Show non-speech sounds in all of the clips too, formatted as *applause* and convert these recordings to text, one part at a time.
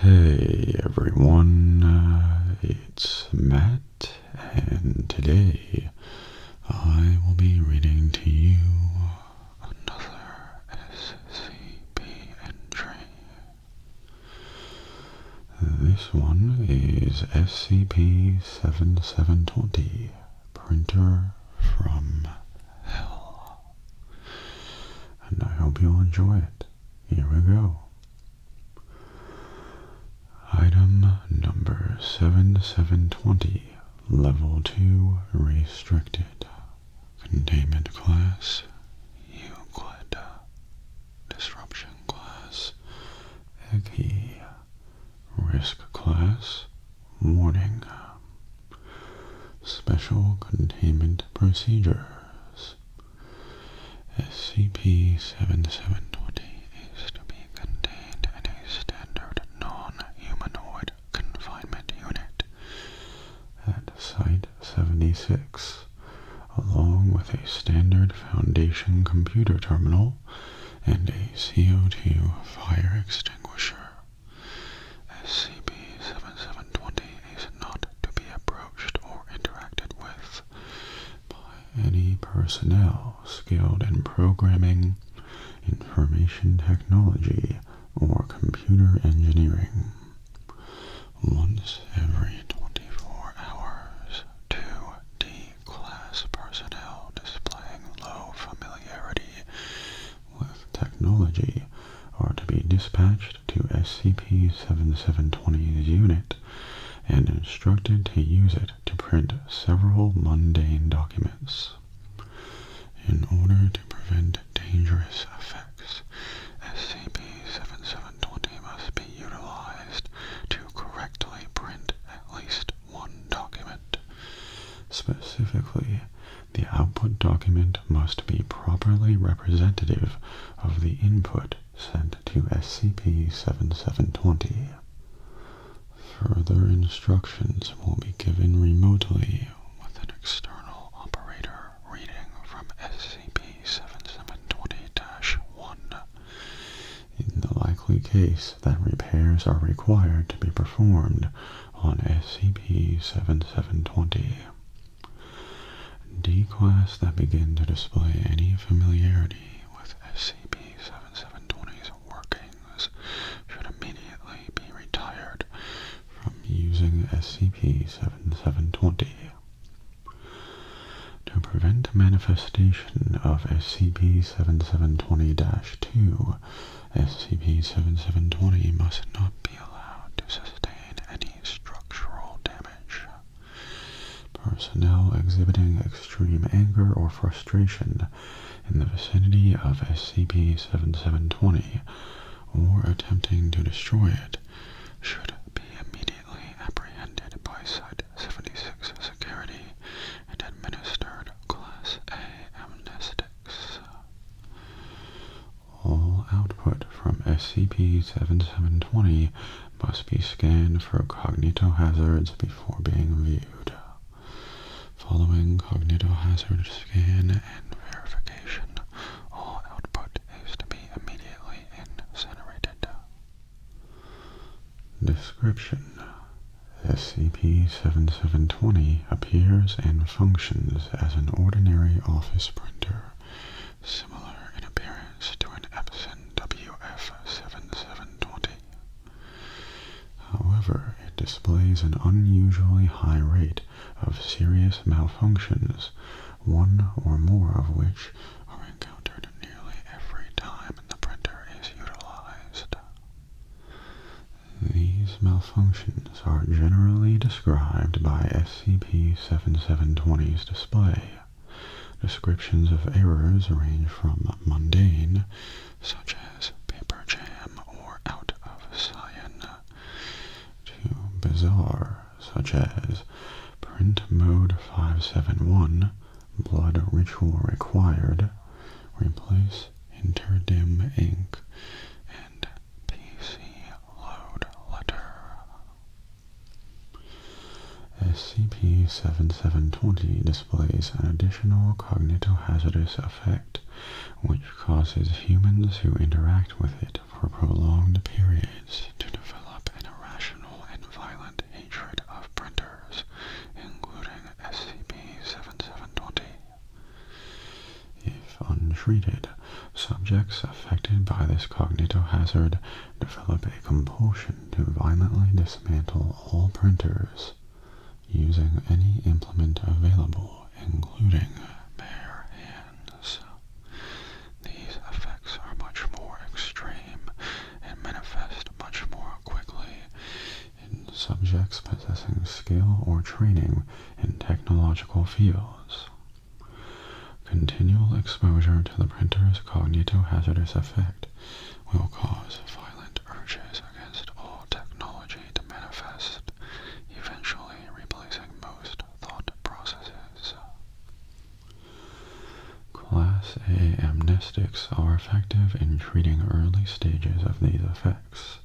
Hey everyone, uh, it's Matt, and today I will be reading to you another SCP entry. This one is SCP 7720 Printer from Hell and I hope you'll enjoy it. Here we go. Item number 7720, Level 2 Restricted. Containment Class, Euclid. Disruption Class, Eggy. Risk Class, Warning. Special Containment Procedures SCP-7720 is to be contained in a standard non-humanoid confinement unit at Site 76 along with a standard Foundation computer terminal and a CO2 fire extinguisher. SCP-7720 is not to be approached or interacted with by any personnel skilled in programming, information technology, or computer engineering. Once every 24 hours, two D-class personnel displaying low familiarity with technology are to be dispatched to SCP-7720's unit and instructed to use it to print several mundane documents. In order to prevent dangerous effects, SCP-7720 must be utilized to correctly print at least one document. Specifically, the output document must be properly representative of the input sent to SCP-7720. Further instructions will be given remotely with an external operator reading from SCP-7720-1. In the likely case that repairs are required to be performed, on SCP-7720. D-class that begin to display any familiarity with SCP-7720's workings should immediately be retired from using SCP-7720. To prevent manifestation of SCP-7720-2, SCP-7720 must not be allowed to sustain any structural damage. Personnel exhibiting extreme anger or frustration in the vicinity of SCP-7720 or attempting to destroy it should be immediately apprehended by Site-76 Security and administered Class A amnestic. All output from SCP-7720 must be scanned for cognitohazards before being viewed. Following cognitohazard scan and verification, all output is to be immediately incinerated. Description SCP-7720 appears and functions as an ordinary office printer, similar in appearance to an Epson WF7720. However, it displays an unusually high rate of serious malfunctions, one or more of which are encountered nearly every time the printer is utilized. These malfunctions are generally described by SCP-7720's display. Descriptions of errors range from mundane, such as paper jam or out of cyan, to bizarre, such as print mode 571, blood ritual required, replace Interdim Inc., and PC Load Letter. SCP-7720 displays an additional cognitohazardous effect which causes humans who interact with it for prolonged periods to develop an irrational and violent hatred of printers, including SCP-7720. If untreated, subjects affected by this cognitohazard develop a compulsion to violently dismantle all printers using any implement available, including bare hands. These effects are much more extreme and manifest much more quickly in subjects possessing skill or training in technological fields. Continual exposure to the printer's cognitohazardous effect will cause violent urges against all technology to manifest, eventually replacing most thought processes. Class A amnestics are effective in treating early stages of these effects,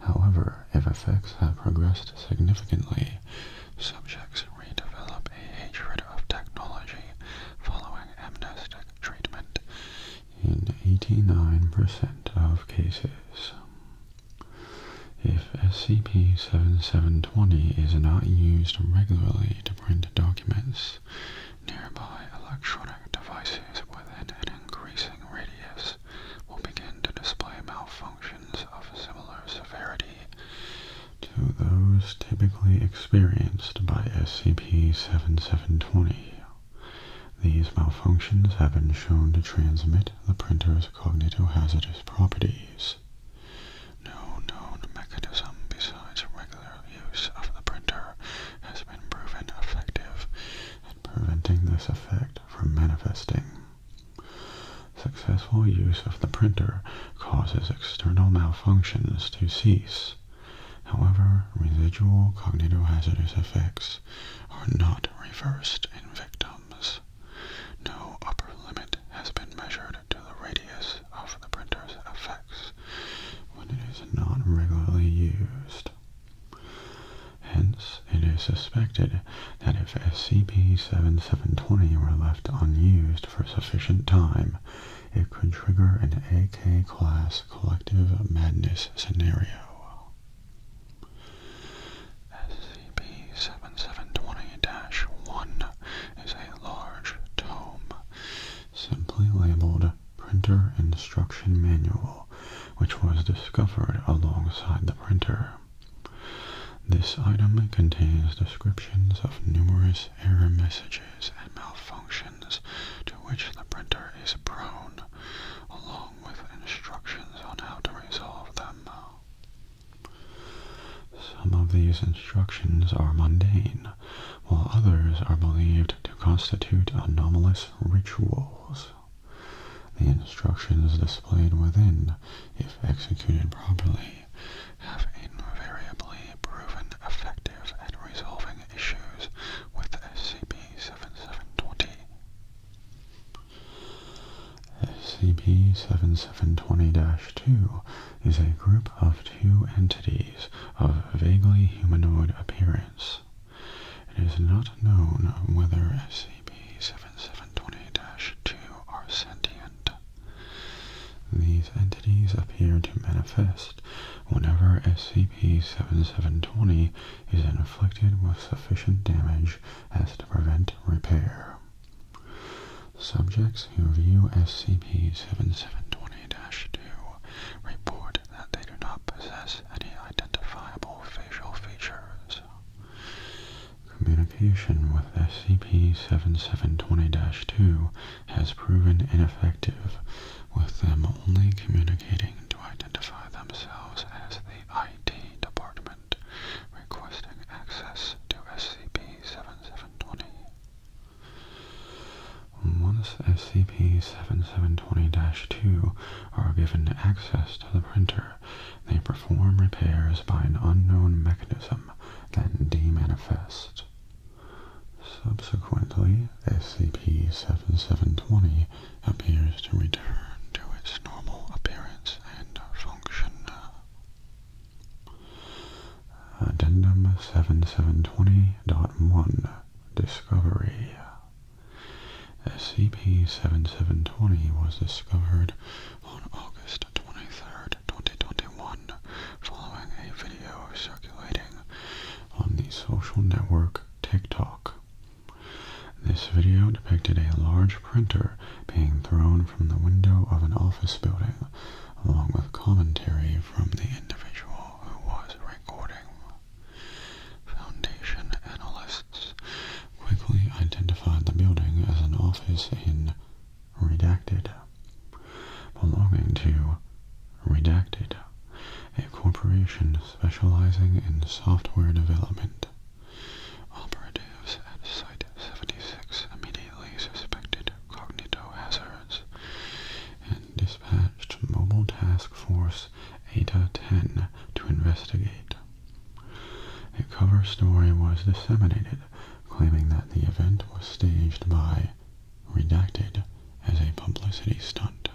However, if effects have progressed significantly, subjects redevelop a hatred of technology following amnestic treatment in 89% of cases. If SCP-7720 is not used regularly to print documents, nearby electronic devices within an increasing radius will begin to display malfunctions of similar severity to those typically experienced by SCP-7720. These malfunctions have been shown to transmit the printer's cognitohazardous properties. No known mechanism besides regular use of the printer has been proven effective preventing this effect from manifesting. Successful use of the printer causes external malfunctions to cease. However, residual cognitohazardous effects are not reversed in victims. No upper limit has been measured to the radius of the printer's effects when it is not regularly used. Hence, it is suspected that if SCP-7720 were left unused for sufficient time, it could trigger an AK-class collective madness scenario. SCP-7720-1 is a large tome, simply labeled printer instruction manual which was discovered alongside the printer. This item contains descriptions of numerous error messages and malfunctions to which the printer is prone, along with instructions on how to resolve them. Some of these instructions are mundane, while others are believed to constitute anomalous rituals. The instructions displayed within, if executed properly, have invariably proven effective at resolving issues with SCP-7720. SCP-7720-2 is a group of two entities of vaguely humanoid appearance. It is not known whether SCP-7720-2 are sentient. These entities appear to manifest whenever SCP-7720 is inflicted with sufficient damage as to prevent repair. Subjects who view SCP-7720-2 report that they do not possess any identifiable facial features. Communication with SCP-7720-2 has proven ineffective, with them only communicating to identify themselves as the ID Department, requesting access to SCP-7720. Once SCP-7720-2 are given access to the printer, they perform repairs by an unknown mechanism, then demanifest. Subsequently, SCP-7720 appears to return to its normal appearance and function. Addendum 7720.1 Discovery SCP-7720 was discovered on August 23, 2021, following a video circulating on the social network TikTok. This video depicted a large printer being thrown from the window of an office building, along with commentary from the individual who was recording. Foundation analysts quickly identified the building as an office in Redacted, belonging to Redacted, a corporation specializing in software development. Operatives at Site 76 immediately suspected cognito hazards and dispatched Mobile Task Force Netflix ADA10 to investigate. A cover story was disseminated claiming that the event was staged by Redacted as a publicity stunt.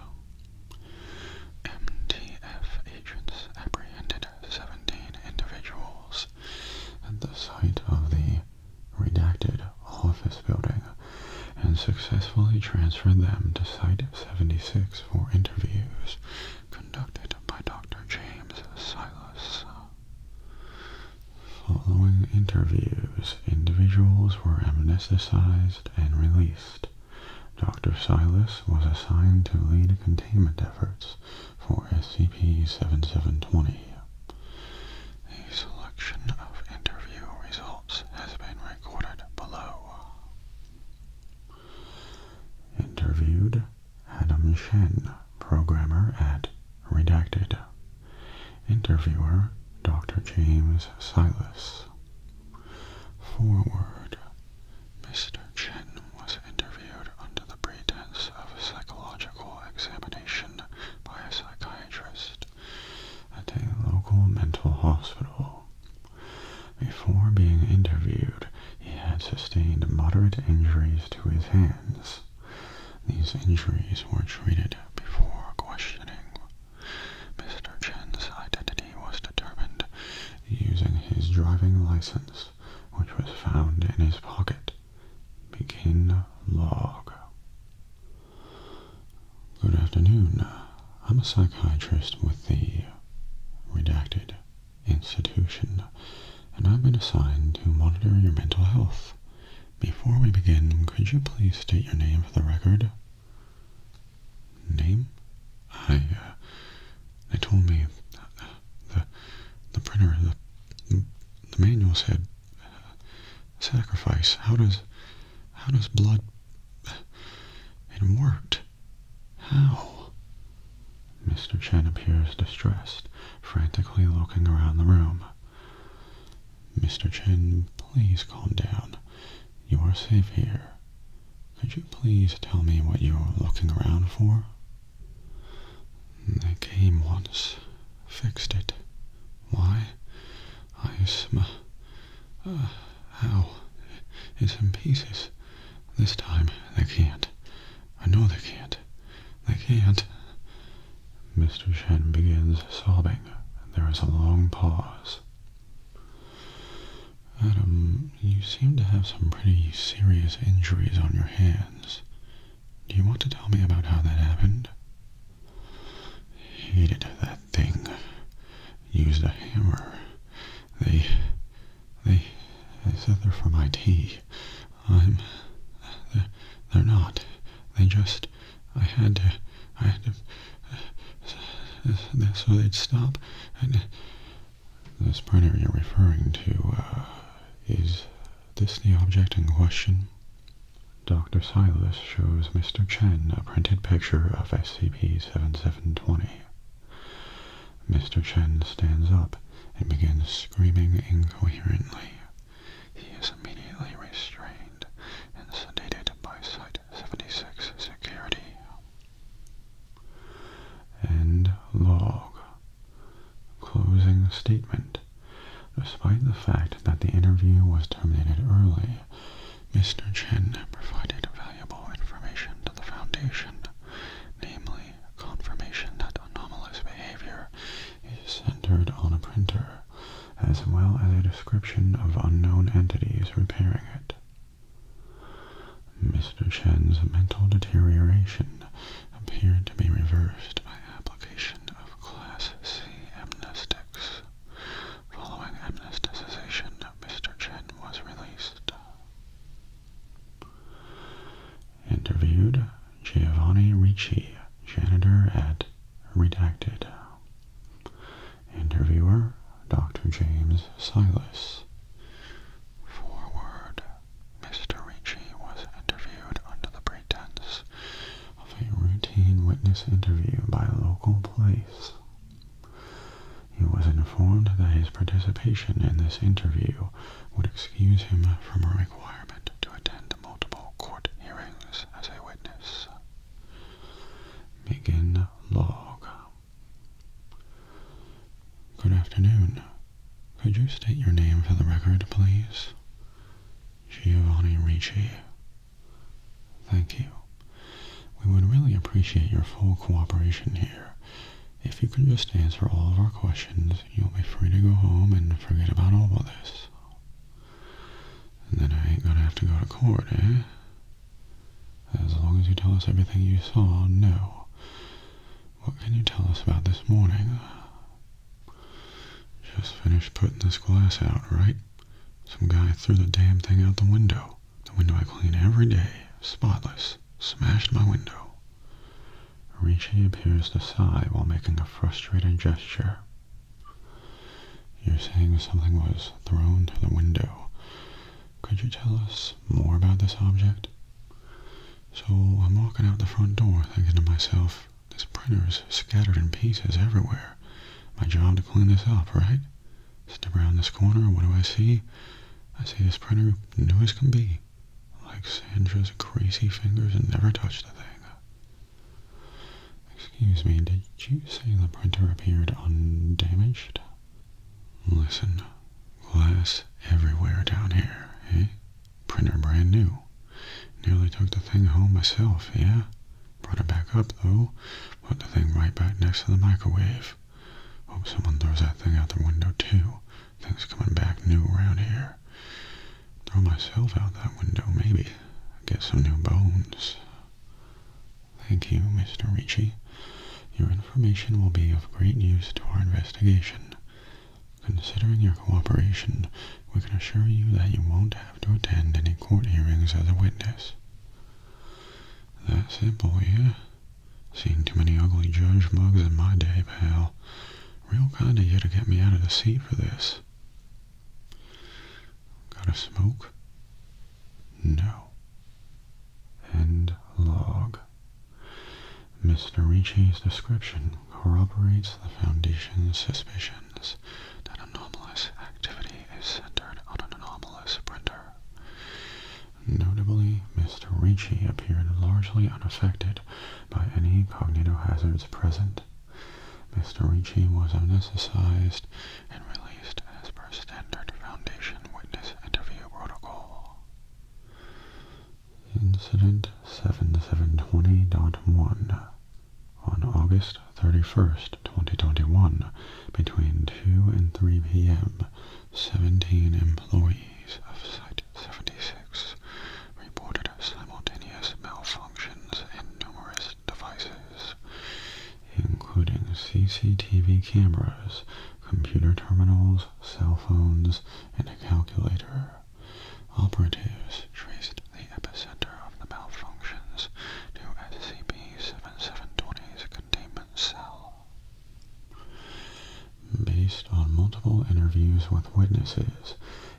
MTF agents apprehended 17 individuals at the site of the Redacted office building and successfully transferred them to Site 76 for interviews conducted by Dr. James Silas. Following interviews, individuals were amnesticized and released. Dr. Silas was assigned to lead containment efforts for SCP-7720. A selection of interview results has been recorded below. Interviewed Adam Chen, programmer at Redacted. Interviewer Dr. James Silas. Forward Mr. Chen was interviewed under the pretense of a psychological examination by a psychiatrist at a local mental hospital. Before being interviewed, he had sustained moderate injuries to his hands. These injuries were treated before questioning. Mr. Chen's identity was determined using his driving license, which was found in his pocket. Begin log. Good afternoon. I'm a psychiatrist with the Redacted Institution, and I've been assigned to monitor your mental health. Before we begin, could you please state your name for the record? Name? I, uh, they told me the, the printer, the, the manual said uh, sacrifice. How does how does blood... It worked. How? Mr. Chen appears distressed, frantically looking around the room. Mr. Chen, please calm down. You are safe here. Could you please tell me what you are looking around for? They came once, fixed it. Why? I sm... Uh, how? It's in pieces. This time, they can't. I know they can't. They can't. Mr. Shen begins sobbing. There is a long pause. Adam, you seem to have some pretty serious injuries on your hands. Do you want to tell me about how that happened? hated that thing. Used a hammer. They. They, they said they're from IT. I'm. They're, not. They just. I had to. I had to. so they'd stop. And this printer you're referring to, uh, is this the object in question? Dr. Silas shows Mr. Chen a printed picture of SCP-7720. Mr. Chen stands up and begins screaming incoherently. He is immediately restrained and sedated by Site-76 security. End log. Closing statement. Despite the fact that the interview was terminated early, Mr. Chen provided valuable information to the Foundation, namely confirmation that anomalous behavior is centered on a printer, as well as a description of unknown entities repairing it. Mr. Chen's mental deterioration appeared to be reversed by application of Class C amnestics, Following amnesticization, Mr. Chen was released. Interviewed Giovanni Ricci, janitor at Redacted. Interviewer Dr. James Silas. Forward Mr. Ricci was interviewed under the pretense of a routine witness interview by local police. He was informed that his participation in this interview would excuse him from a requirement to attend multiple court hearings as a witness. Begin log. Good afternoon. Could you state your name for the record, please? Giovanni Ricci. Thank you. We would really appreciate your full cooperation here. If you can just answer all of our questions, you'll be free to go home and forget about all of this. then I ain't gonna have to go to court, eh? As long as you tell us everything you saw, no. What can you tell us about this morning? Just finished putting this glass out, right? Some guy threw the damn thing out the window. The window I clean every day, spotless, smashed my window. Richie appears to sigh while making a frustrated gesture. You're saying something was thrown through the window. Could you tell us more about this object? So I'm walking out the front door thinking to myself, this is scattered in pieces everywhere my job to clean this up, right? Step around this corner, what do I see? I see this printer new as can be. Like Sandra's greasy fingers and never touched the thing. Excuse me, did you say the printer appeared undamaged? Listen, glass everywhere down here, eh? Printer brand new. Nearly took the thing home myself, yeah? Brought it back up though. Put the thing right back next to the microwave. Hope someone throws that thing out the window too. Things coming back new around here. Throw myself out that window maybe. Get some new bones. Thank you, Mr. Ritchie. Your information will be of great use to our investigation. Considering your cooperation, we can assure you that you won't have to attend any court hearings as a witness. That's it, boy, yeah. Seen too many ugly judge mugs in my day, pal. Real kind of you to get me out of the seat for this. Got a smoke? No. End log. Mr. Ricci's description corroborates the Foundation's suspicions that anomalous activity is centered on an anomalous printer. Notably, Mr. Ricci appeared largely unaffected by any cognitohazards present. Mr. Ricci was amnesticized and released as per standard Foundation witness interview protocol. Incident 7720.1 on August 31st, 2021, between 2 and 3 p.m., 17 employees of Site 76 reported simultaneous malfunctions in numerous devices, including CCTV cameras, computer terminals, cell phones, and a calculator. Operatives traced the epicenter of the malfunctions to SCP-7720's containment cell. Based on multiple interviews with witnesses,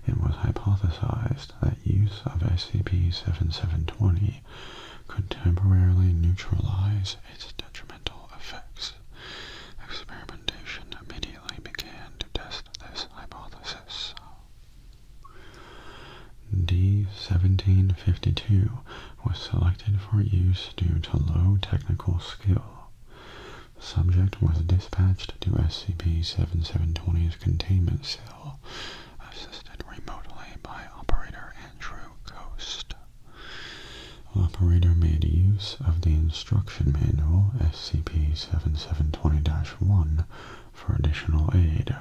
it was hypothesized that use of SCP-7720 could temporarily neutralize its detrimental effects. Experimentation immediately began to test this hypothesis. D1752 was selected for use due to low technical skill. Subject was dispatched to SCP-7720's containment cell, assisted remotely by Operator Andrew Coast. Operator made use of the instruction manual SCP-7720-1 for additional aid.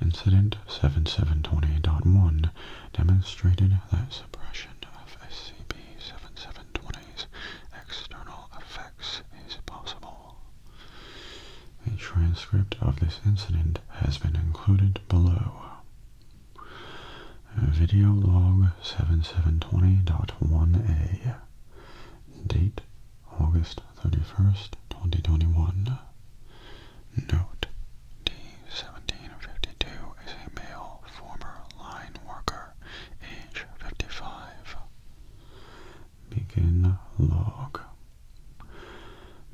Incident 7728.1 demonstrated that suppression of SCP-7720's external effects is possible. A transcript of this incident has been included below. Video log 7720.1a Date August 31st, 2021. Note D1752 is a male former line worker, age 55. Begin log.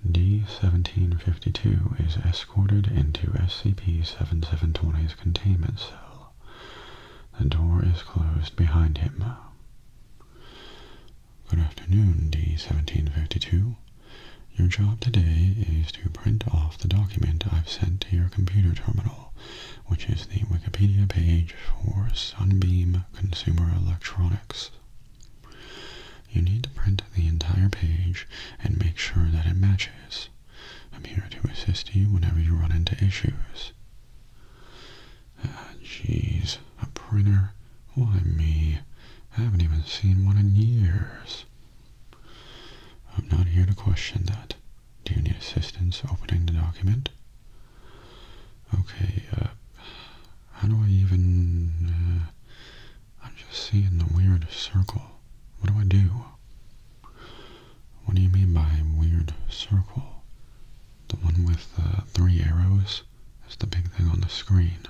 D1752 is escorted into SCP-7720's containment cell. The door is closed behind him. Good afternoon, D1752. Your job today is to print off the document I've sent to your computer terminal, which is the Wikipedia page for Sunbeam Consumer Electronics. You need to print the entire page and make sure that it matches. I'm here to assist you whenever you run into issues. Ah, A printer? Why me? I haven't even seen one in years. I'm not here to question that. Do you need assistance opening the document? Okay, uh, how do I even, uh, I'm just seeing the weird circle. What do I do? What do you mean by weird circle? The one with the three arrows is the big thing on the screen.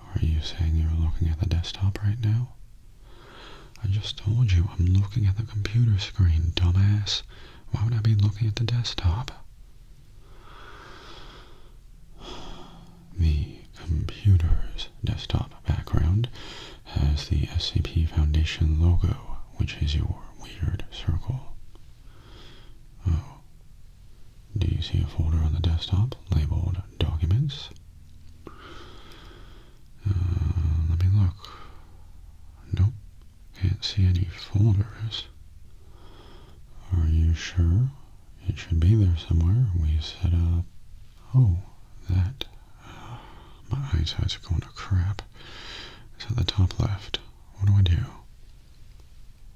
Are you saying you're looking at the desktop right now? I just told you I'm looking at the computer screen, dumbass. Why would I be looking at the desktop? *sighs* The computer's desktop background has the SAP Foundation logo, which is your weird circle. Oh. Do you see a folder on the desktop labeled Documents? Uh, let me look. Nope. Can't see any folders. Are you sure? It should be there somewhere. We set up... Oh, that. My eyesight's going to crap. It's at the top left what do I do?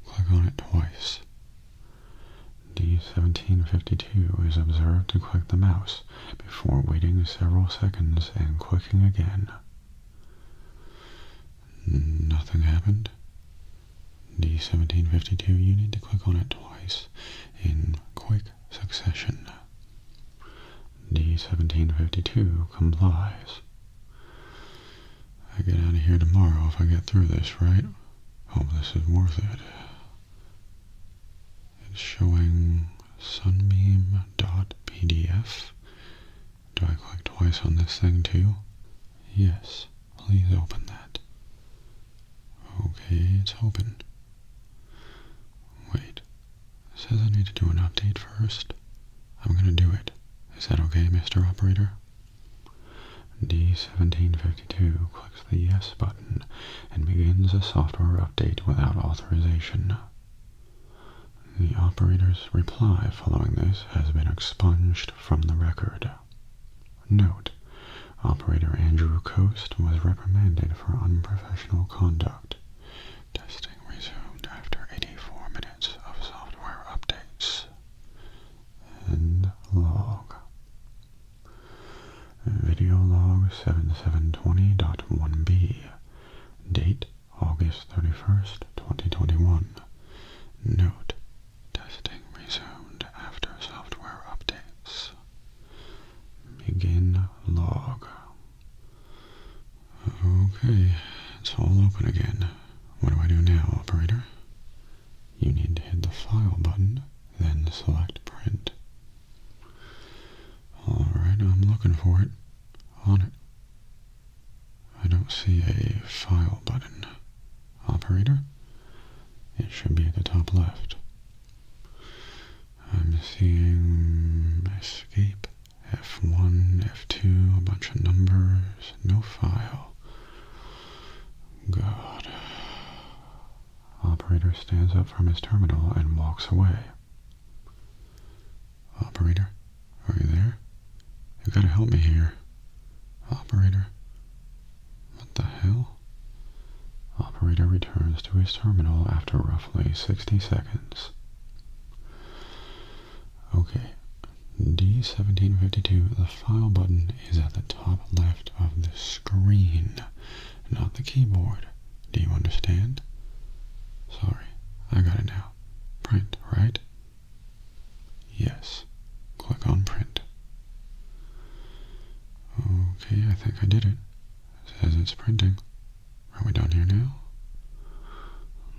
Click on it twice. D1752 is observed to click the mouse before waiting several seconds and clicking again. Nothing happened. D1752, you need to click on it twice in quick succession. D-1752 complies. I get out of here tomorrow if I get through this, right? Hope this is worth it. It's showing Sunbeam sunbeam.pdf. Do I click twice on this thing too? Yes. Please open that. Okay, it's open. Wait, says I need to do an update first. I'm going to do it. Is that okay, Mr. Operator? D1752 clicks the Yes button and begins a software update without authorization. The operator's reply following this has been expunged from the record. Note, Operator Andrew Coast was reprimanded for unprofessional conduct. Testing resumed after 84 minutes of software updates. End log. Video log 7720.1b. Date August 31st, 2021. Note. Testing resumed after software updates. Begin log. Okay, it's all open again. What do I do now, operator? You need to hit the File button, then select Print. Alright, I'm looking for it. On it. I don't see a File button. Operator? It should be at the top left. I'm seeing Escape F1, F2, a bunch of numbers, no file. God. Operator stands up from his terminal and walks away. Operator, are you there? You have gotta help me here. Operator. What the hell? Operator returns to his terminal after roughly 60 seconds. Okay, D1752, the file button is at the top left of the screen, not the keyboard. Do you understand? Sorry, I got it now. Print, right? Yes. Click on print. Okay, I think I did it. it says it's printing. Are we done here now?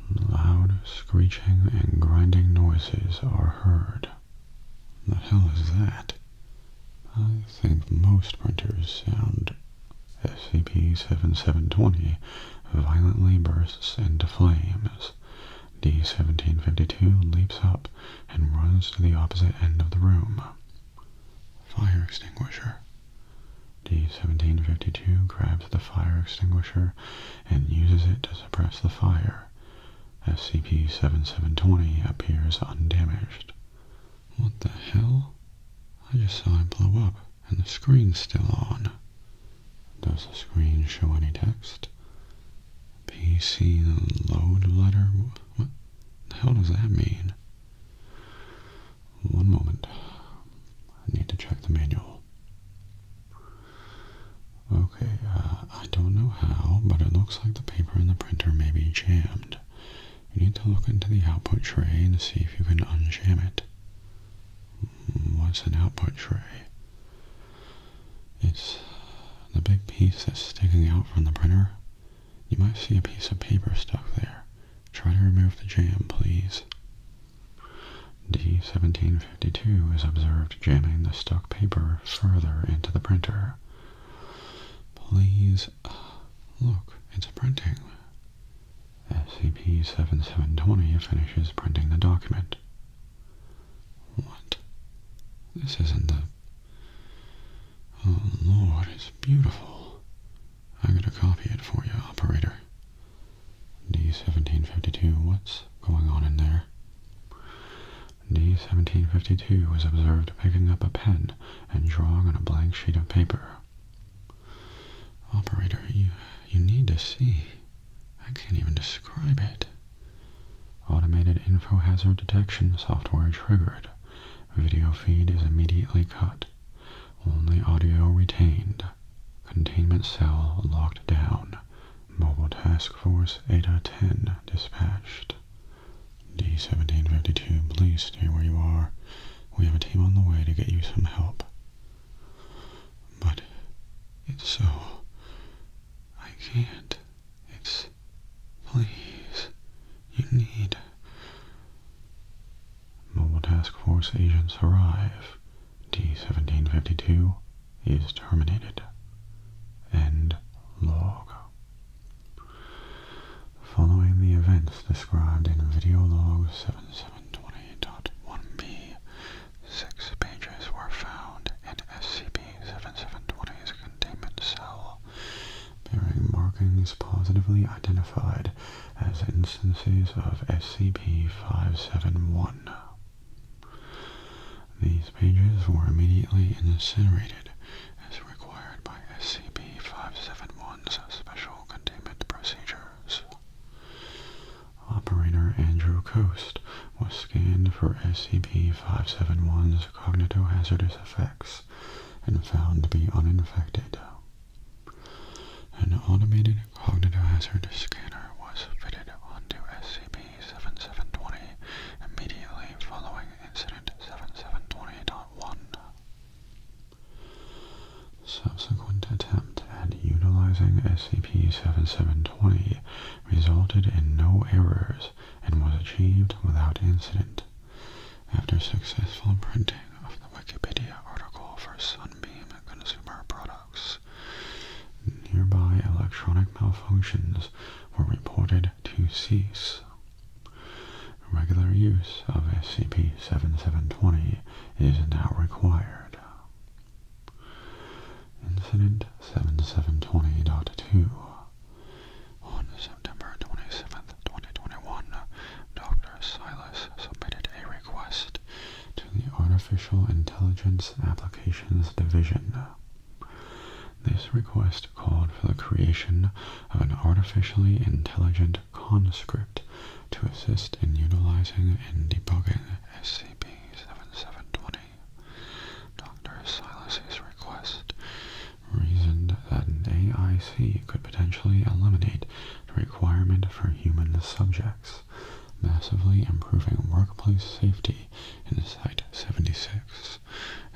Loud screeching and grinding noises are heard. The hell is that? I think most printers sound. SCP-7720 violently bursts into flames. D-1752 leaps up and runs to the opposite end of the room. Fire extinguisher. D-1752 grabs the fire extinguisher and uses it to suppress the fire. SCP-7720 appears undamaged. What the hell? I just saw it blow up, and the screen's still on. Does the screen show any text? PC load letter? What the hell does that mean? One moment. I need to check the manual. Okay, uh, I don't know how, but it looks like the paper in the printer may be jammed. You need to look into the output tray and see if you can unjam it. Hmm, what's an output tray? It's the big piece that's sticking out from the printer. You might see a piece of paper stuck there. Try to remove the jam, please. D1752 is observed jamming the stuck paper further into the printer. Please, uh, look, it's printing. SCP-7720 finishes printing the document. What? This isn't the... Oh, Lord, it's beautiful. I'm going to copy it for you, operator. D-1752, what's going on in there? D-1752 was observed picking up a pen and drawing on a blank sheet of paper. Operator, you, you need to see. I can't even describe it. Automated info hazard detection software triggered. Video feed is immediately cut. Only audio retained. Containment cell locked down. Mobile Task Force eight hundred ten dispatched. D-1752, please stay where you are. We have a team on the way to get you some help. But it's so... I can't. It's... Please. You need... Mobile Task Force agents arrive. D-1752 is terminated. End log. Following the events described in video log 7720.1b, six pages were found in SCP-7720's containment cell bearing markings positively identified as instances of SCP-571. These pages were immediately incinerated as required by SCP-571's special containment procedures. Operator Andrew Coast was scanned for SCP-571's cognitohazardous effects and found to be uninfected. An automated cognitive hazard scanner was fitted onto SCP-7720 immediately following Incident 7720.1. Subsequent attempt at utilizing SCP-7720 resulted in no errors and was achieved without incident. After successful printing of the Wikipedia article for Sunbeam Consumer Products, nearby electronic malfunctions were reported to cease. Regular use of SCP-7720 is now required. Incident 7720.2 On September 27, 2021, Dr. Silas submitted a request to the Artificial Intelligence Applications Division. This request called for the creation of an artificially intelligent conscript to assist in utilizing and debugging SCP-7720. Dr. Silas's request reasoned that an AIC could potentially eliminate the requirement for human subjects, massively improving workplace safety in Site 76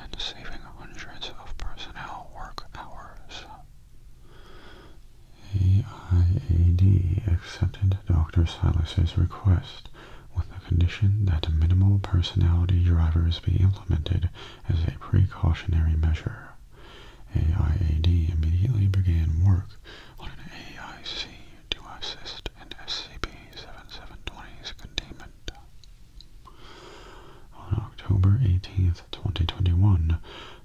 and saving hundreds of personnel work hours. AIAD accepted Dr. Silas's request with the condition that minimal personality drivers be implemented as a precautionary measure. AIAD immediately began work on an AIC to assist in SCP-7720's containment. On October 18, 2021,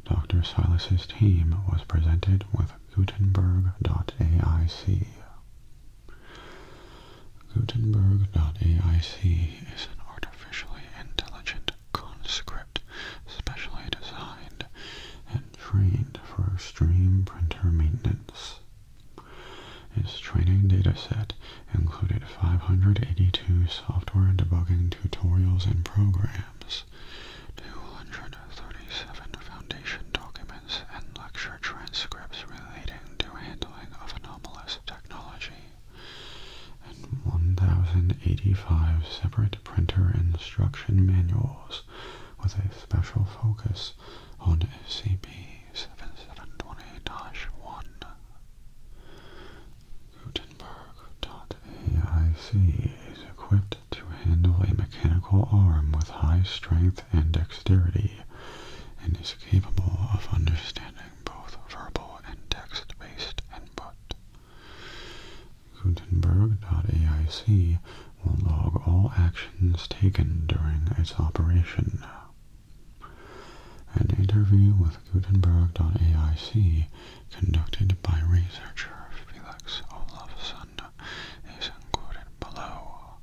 Dr. Silas's team was presented with Gutenberg.AIC. Gutenberg.AIC is an artificially intelligent conscript script designed and trained for extreme printer maintenance. Its training data set included 582 software debugging tutorials and programs, 237 foundation documents and lecture transcripts relating to handling of anomalous technology, and 1,085 separate printer instruction manuals with a special focus on C.B. 7720 one Gutenberg.AIC is equipped to handle a mechanical arm with high strength and dexterity and is capable of understanding both verbal and text-based input. Gutenberg.aic will log all actions taken during its operation. An interview with Gutenberg.aic conducted by researcher Felix Olafsson is quoted below.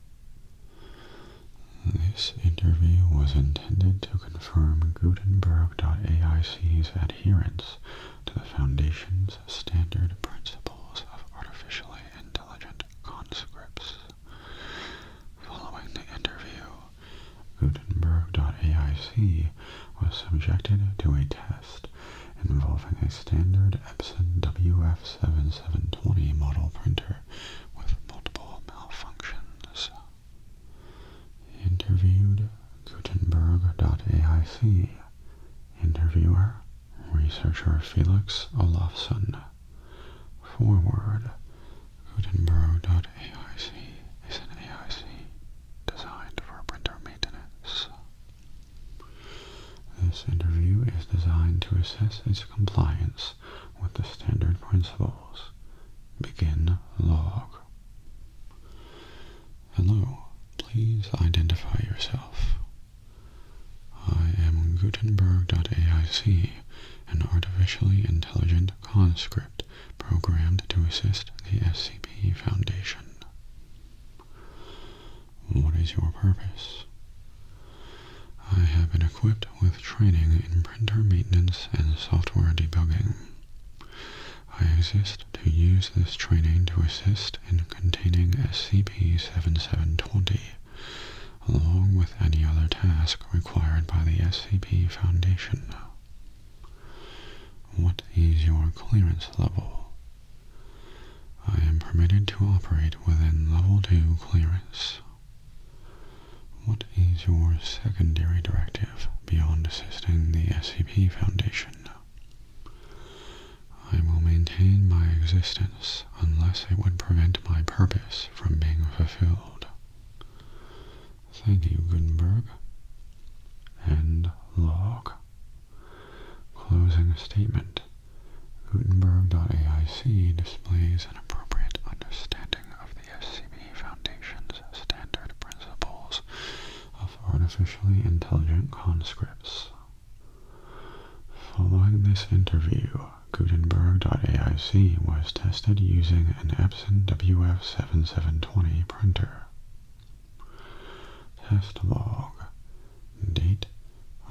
This interview was intended to confirm Gutenberg.aic's adherence to the Foundation's standard principles of artificially intelligent conscripts. Following the interview, Gutenberg.aic was subjected to a test involving a standard Epson WF7720 model printer with multiple malfunctions. Interviewed Gutenberg.aic Interviewer Researcher Felix Olafsson Forward Gutenberg.aic is an AIC designed for printer maintenance. This interview is designed to assess its compliance with the standard principles. Begin log. Hello, please identify yourself. I am Gutenberg.AIC, an artificially intelligent conscript programmed to assist the SCP Foundation. What is your purpose? I have been equipped with training in printer maintenance and software debugging. I exist to use this training to assist in containing SCP-7720, along with any other task required by the SCP Foundation. What is your clearance level? I am permitted to operate within Level 2 clearance. What is your secondary directive beyond assisting the SCP Foundation? I will maintain my existence unless it would prevent my purpose from being fulfilled. Thank you, Gutenberg. End log. Closing statement. Gutenberg.aic displays an appropriate understanding of the FCB Foundation's standard principles of artificially intelligent conscripts. Following this interview, Gutenberg.AIC was tested using an Epson WF7720 printer. Test log. Date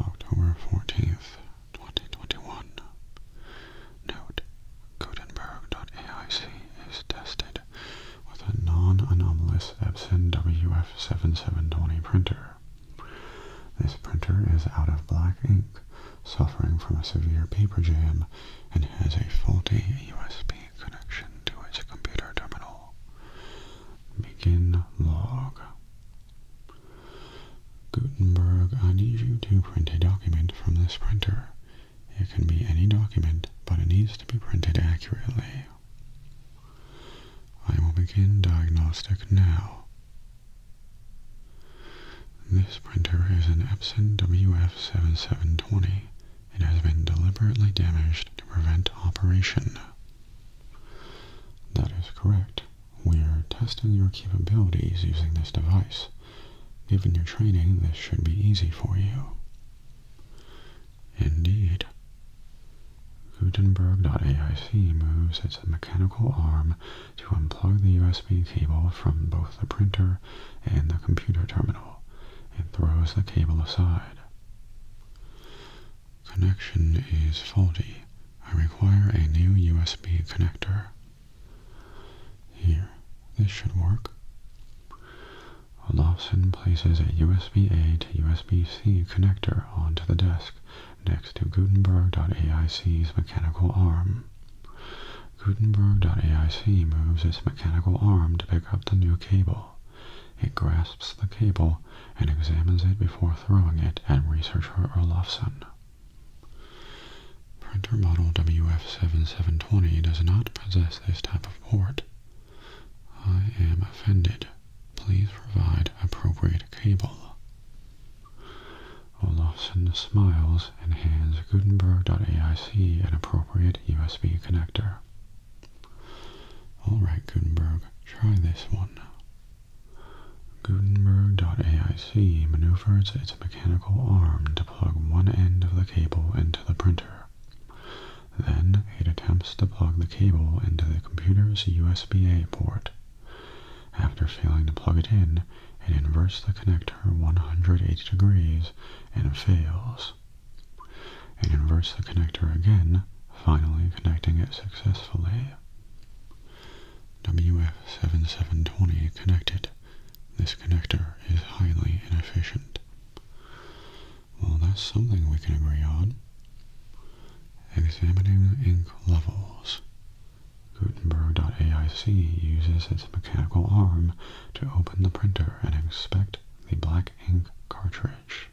October 14th, 2021. Note, Gutenberg.aic is tested with a non-anomalous Epson WF7720 printer. This printer is out of black ink, suffering from a severe paper jam, and has a faulty USB connection to its computer terminal. Begin log. Gutenberg, I need you to print a document from this printer. It can be any document, but it needs to be printed accurately. I will begin diagnostic now. This printer is an Epson WF7720. It has been deliberately damaged to prevent operation. That is correct. We're testing your capabilities using this device. Given your training, this should be easy for you. Indeed. Gutenberg.aic moves its mechanical arm to unplug the USB cable from both the printer and the computer terminal and throws the cable aside. Connection is faulty. I require a new USB connector. Here, this should work. Olafson places a USB-A to USB-C connector onto the desk next to Gutenberg.AIC's mechanical arm. Gutenberg.AIC moves its mechanical arm to pick up the new cable. It grasps the cable and examines it before throwing it at researcher Olafson. Printer model WF7720 does not possess this type of port. I am offended. Please provide appropriate cable. Olafson smiles and hands Gutenberg.aic an appropriate USB connector. Alright Gutenberg, try this one. Gutenberg.aic maneuvers its mechanical arm plug one end of the cable into the printer. Then it attempts to plug the cable into the computer's USB-A port. After failing to plug it in, it inverts the connector 180 degrees and fails. It inverts the connector again, finally connecting it successfully. WF7720 connected. This connector is highly inefficient. Well, that's something we can agree on. Examining ink levels. Gutenberg.aic uses its mechanical arm to open the printer and inspect the black ink cartridge.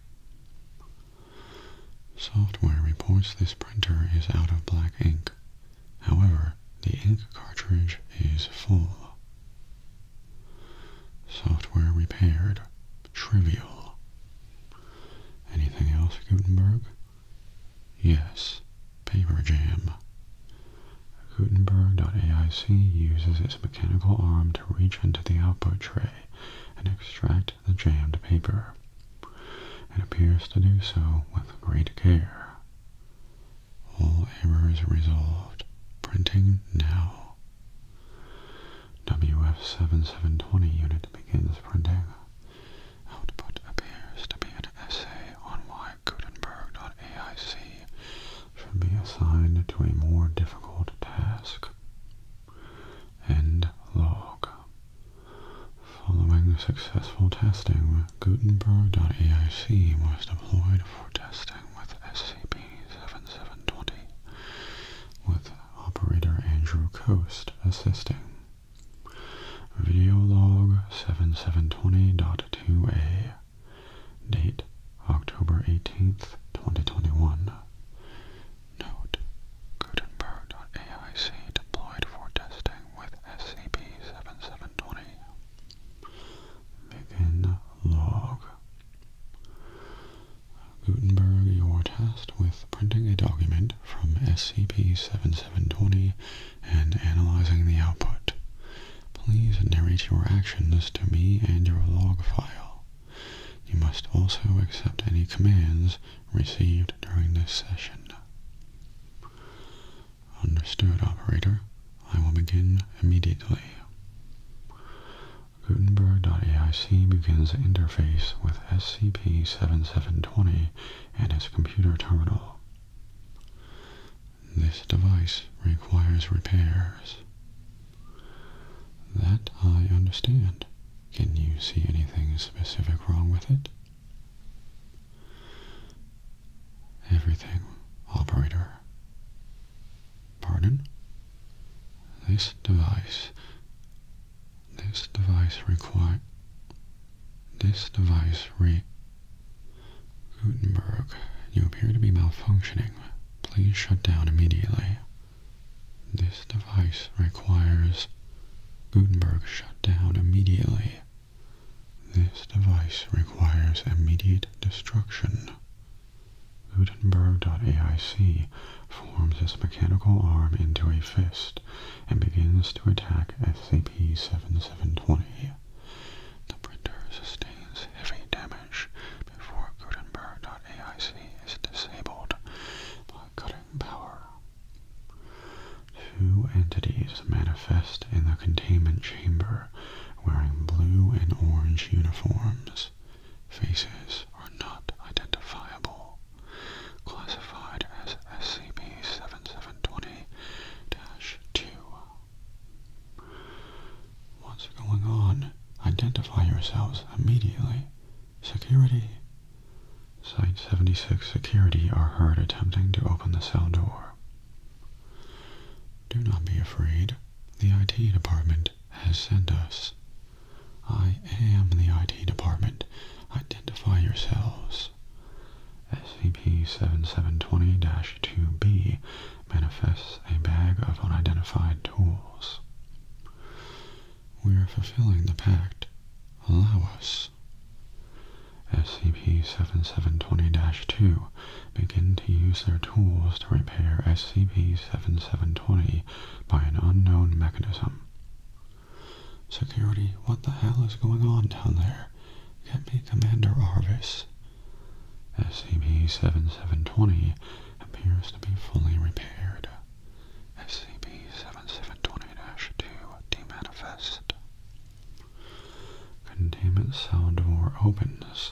Software reports this printer is out of black ink, However, the ink cartridge is full. Software repaired. Trivial. Anything else, Gutenberg? Yes, paper jam. Gutenberg.aic uses its mechanical arm to reach into the output tray and extract the jammed paper. It appears to do so with great care. All errors resolved. Printing now. WF7720 unit begins printing. Output appears to be an essay on why Gutenberg.aic should be assigned to a more difficult task. End log. Following successful testing, Gutenberg.aic was deployed for testing with SCP-7720, with operator Andrew Coast assisting. Video Videolog 7720.2a Date October 18th, 2021 Note Gutenberg.aic deployed for testing with SCP-7720 log. Gutenberg you're tasked with printing a document from SCP-7720 and analyzing the output. Please narrate your actions to me and your log file. You must also accept any commands received during this session. Understood, operator. I will begin immediately. Gutenberg.aic begins the interface with SCP-7720 and its computer terminal. This device requires repairs. That I understand. Can you see anything specific wrong with it? Everything, operator. Pardon? This device. This device require. This device re. Gutenberg, you appear to be malfunctioning. Please shut down immediately. This device requires Gutenberg shut down immediately. This device requires immediate destruction. Gutenberg.aic forms his mechanical arm into a fist and begins to attack SCP-7720. The printer sustains heavy damage before Gutenberg.aic is disabled by cutting power. Two entities manifest in the containment chamber wearing blue and orange uniforms. Faces are not identifiable. Classified as SCP-7720-2. What's going on? Identify yourselves immediately. Security. Site-76 security are heard attempting to open the cell door. Do not be afraid. The IT department has sent us. I am the IT department. Identify yourselves. SCP-7720-2B manifests a bag of unidentified tools. We are fulfilling the pact. Allow us. SCP-7720-2 begin to use their tools to repair SCP-7720 by an unknown mechanism. Security, what the hell is going on down there? Get me Commander Arvis. SCP-7720 appears to be fully repaired. SCP-7720-2 demanifest. Containment cell door opens.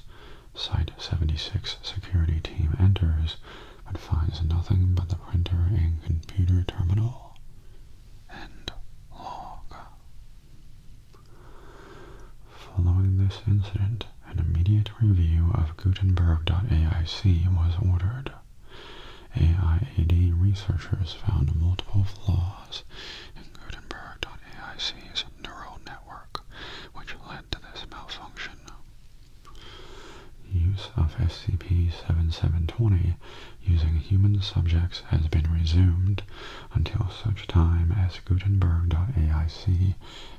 Site 76 security team enters, but finds nothing but the printer and computer terminal. End log. Following this incident, an immediate review of Gutenberg.aic was ordered. AIAD researchers found multiple flaws in Gutenberg.AIC's neural network, which led to this malfunction. Use of SCP-7720 using human subjects has been resumed until such time as Gutenberg.AIC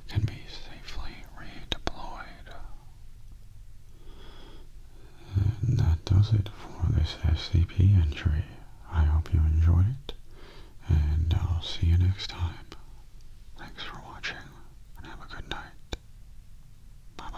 can be safely redeployed. And that does it for this SCP entry. I hope you enjoyed it, and I'll see you next time. Thanks for watching, and have a good night. bye